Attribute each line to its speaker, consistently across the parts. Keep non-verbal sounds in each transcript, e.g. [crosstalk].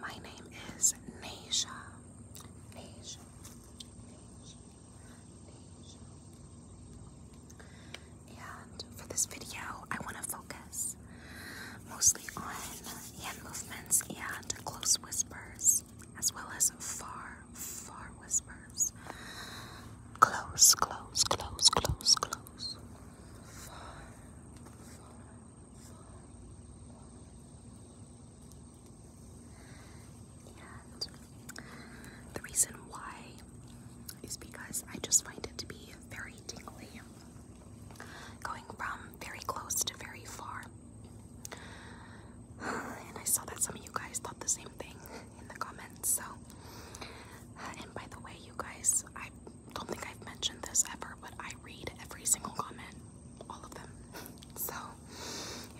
Speaker 1: My name is Nasia. Nasia. And for this video, I want to focus mostly on hand movements and close whispers, as well as far, far whispers. Close, close, close, close, close. Far, and the reason why is because I just find it to be very tingly, going from very close to very far. [sighs] And I saw that some of you guys thought the same thing in the comments. So, [sighs] and by the way, you guys, I don't think I've mentioned this ever, but I read every single comment, all of them. So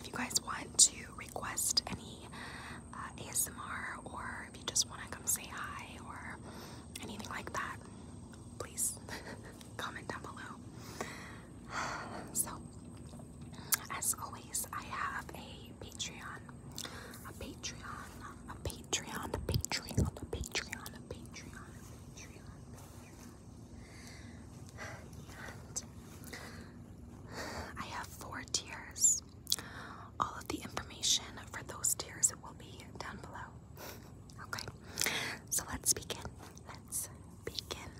Speaker 1: if you guys want to request any uh, ASMR or if you just want to come say hi or anything like that, please [laughs] comment down below. [sighs] So as always, I have a Patreon, a Patreon, a Patreon, a Patreon, a Patreon, a Patreon, Patreon, [sighs] I have four tiers. All of the information for those tiers will be down below. [laughs] Okay, so let's begin. Let's begin.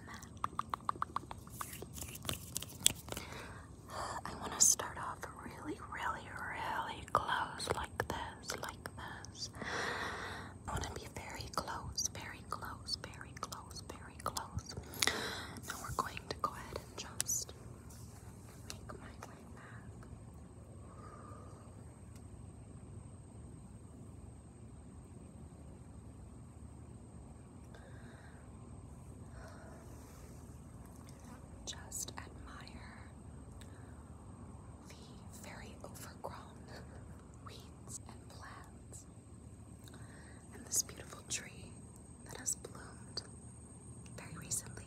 Speaker 1: [sighs] I want to start off really, really, really close, like this, like I want to be very close, very close, very close, very close. Now we're going to go ahead and just make my way back. Just admire the very overgrown weeds and plants, and this beautiful tree that has bloomed very recently.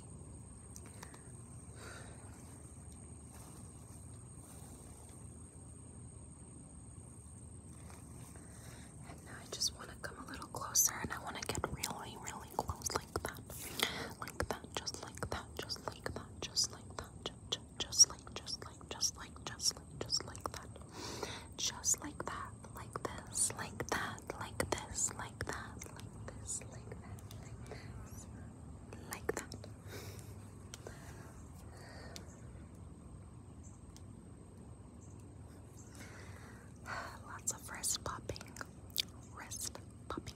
Speaker 1: And now I just want to come a little closer and I want to get really, really close like that. Like that, just like that, just like that, just like that, just like, just like, just like, just like, just like that. Just like that, like this, like that, like this, like that, like this, like this, like that. [sighs] Lots of wrist popping, wrist popping,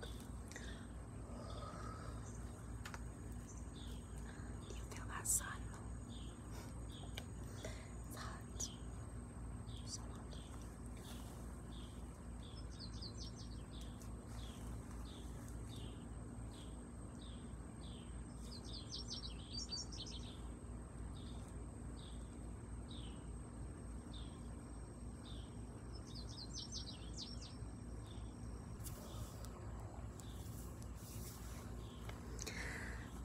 Speaker 1: Do you feel that sun? hot. so lucky.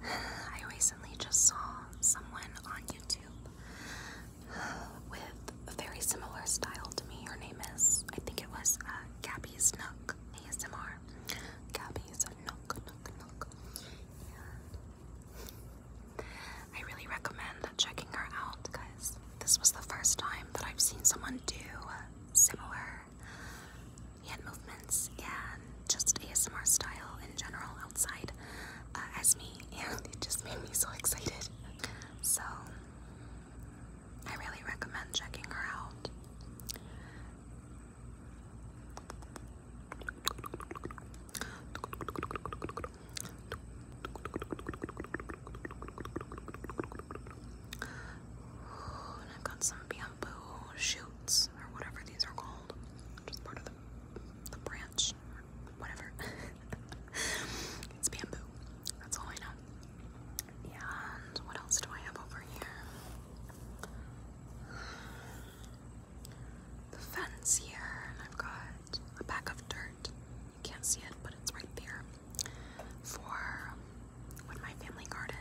Speaker 1: I recently just saw someone on YouTube with a very similar style to me. Her name is, I think it was uh, Gabby's Nook ASMR. Gabby's Nook, Nook, Nook. I really recommend checking her out, guys this was the first time that I've seen someone do similar hand movements and just ASMR style in general outside uh, as me, [laughs] and it just made me so excited. So, I really recommend checking her out. And I've got some bamboo shoots or whatever these are called. Just part of the, the branch whatever. [laughs] it's bamboo. That's all I know. And what else do I have over here? The fence here, and I've got a pack of dirt. You can't see it, but it's right there for um, when my family gardens.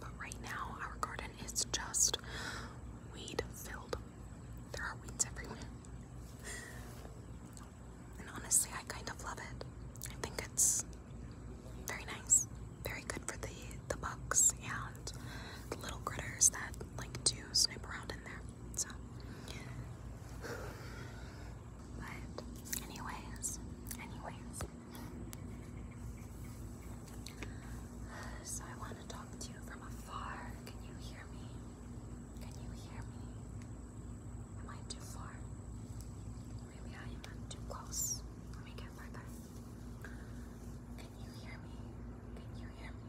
Speaker 1: But right now, our garden is just weed filled. There are weeds everywhere. And honestly, I kind of love it. I think it's very nice, very good for the the bugs and the little critters that like to snoop around in there. So but anyways, anyways. So I want to talk to you from afar. Can you hear me? Can you hear me? Am I too far? Maybe I am too close. Let me get further. Can you hear me? Can you hear me?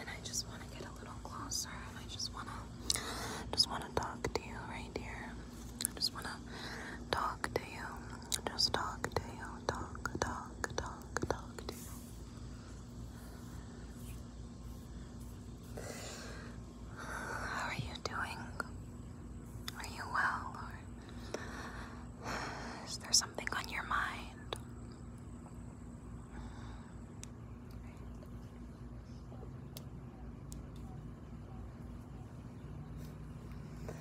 Speaker 1: And I just want to get a little closer I just want to just want to talk to you right here. I just want to talk to you. Just talk to you. Talk, talk, talk, talk to you. How are you doing? Are you well? is there something on your mind? Well,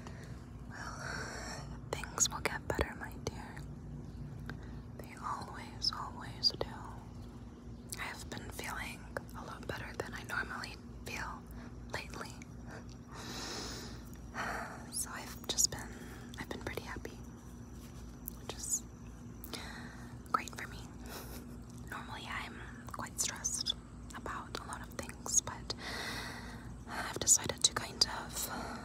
Speaker 1: things will get better, my dear. They always, always do. I have been feeling a lot better than I normally feel lately. [sighs] so I've just been I've been pretty happy. Which is great for me. Normally I'm quite stressed about a lot of things, but I've decided to kind of um,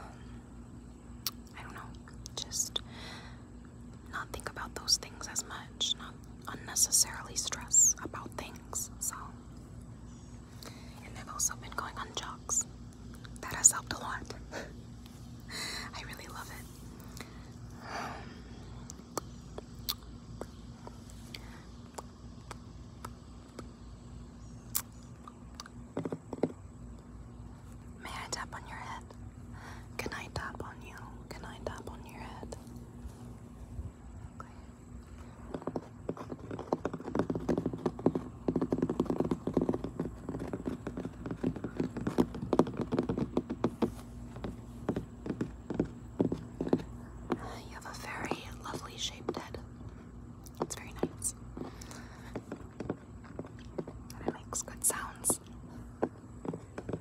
Speaker 1: I don't know, just not think about those things as much, not unnecessarily stress about things. So, and I've also been going on jogs. That has helped a lot. [laughs] I really love it. May I tap on your head? Can I tap on you? Can I tap on your head? You have a very lovely shaped head. It's very nice. And it makes good sounds.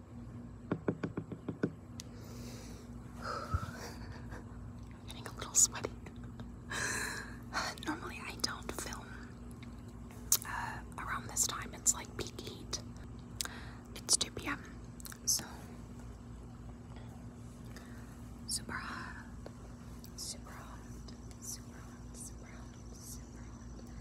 Speaker 1: [sighs] Getting a little sweaty. [sighs] Normally, I don't film uh, around this time. It's like peak heat. It's 2 p.m. So super hot, super hot, super hot, super hot, super hot.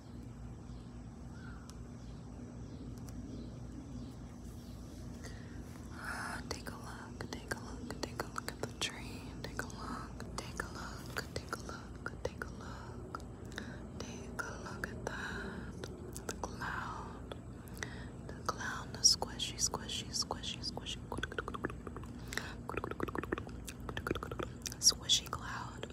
Speaker 1: Ah, [sighs] take a look, take a look, take a look at the train. Take a look, take a look, take a look, take a look. Take a look at that. The cloud. The clown, the squishy, squishy, squishy, squishy. Squishy cloud.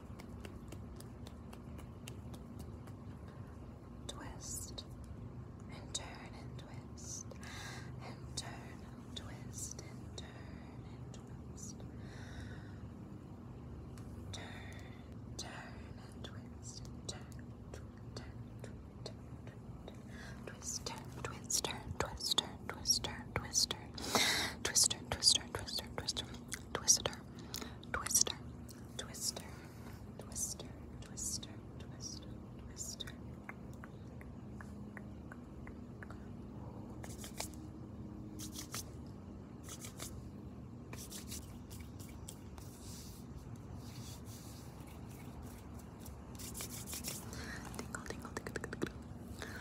Speaker 1: Twist and turn and twist and turn and twist and turn and twist. Turn, turn and twist turn, turn, turn, turn, turn, twist, turn, twist, turn, twist, turn, twister, twister, twister, twister, twister, twister, twister, twister, twister, twister, twister, twister, twister. Tingle, tingle, tingle, tingle, tingle, Whispering,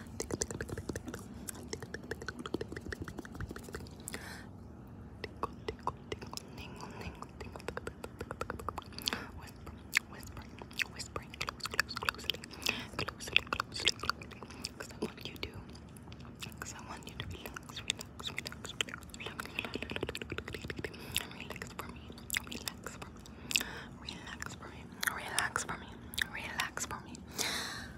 Speaker 1: whispering, close, closely, closely, closely, closely. Because I want you to, because I want you to relax, relax, relax, relax, relax for me, relax for me, relax for me, relax for me, relax for me. Relax for me.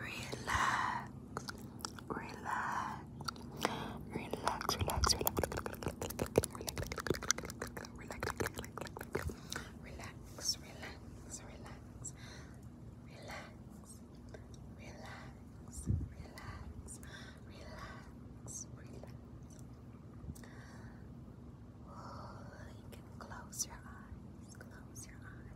Speaker 1: Relax. Relax. Relax, relax, relax, relax, relax, relax, relax. Relax, relax, relax, relax, relax. Oh, you can close your eyes, close your eyes.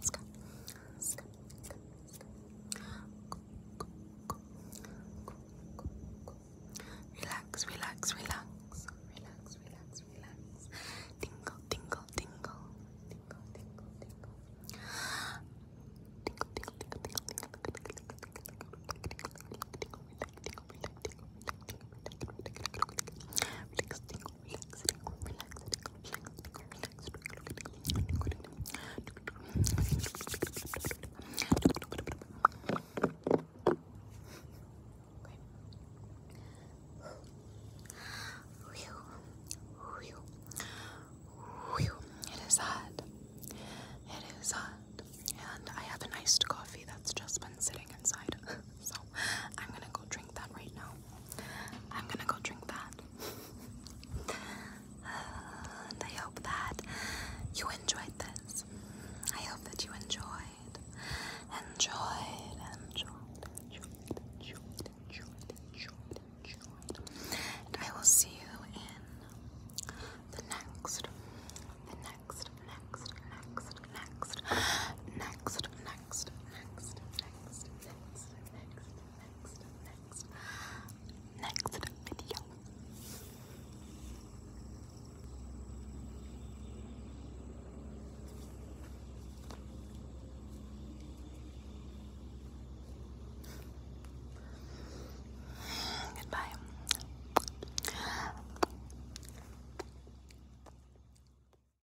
Speaker 1: scrub, scrub, scrub, scrub. Relax, relax, relax, relax, relax, relax. Tingle, tingle, tingle, tingle, tingle, tingle. Tingle, tingle, tingle, tingle, tingle, tingle, tingle, tingle, tingle, tingle, tingle, tingle, relax, tingle, relax, tingle, relax, tingle, relax, It is hot. It is hot. And I have an iced coffee that's just been sitting inside. [laughs] so I'm gonna go drink that right now. I'm gonna go drink that. I hope that you enjoyed this. I hope that you enjoyed, enjoyed, enjoyed, enjoyed, enjoyed, enjoyed. And I will see you in the next, the next, next, next, next, next, next, next, next next, next, next, next video. Goodbye.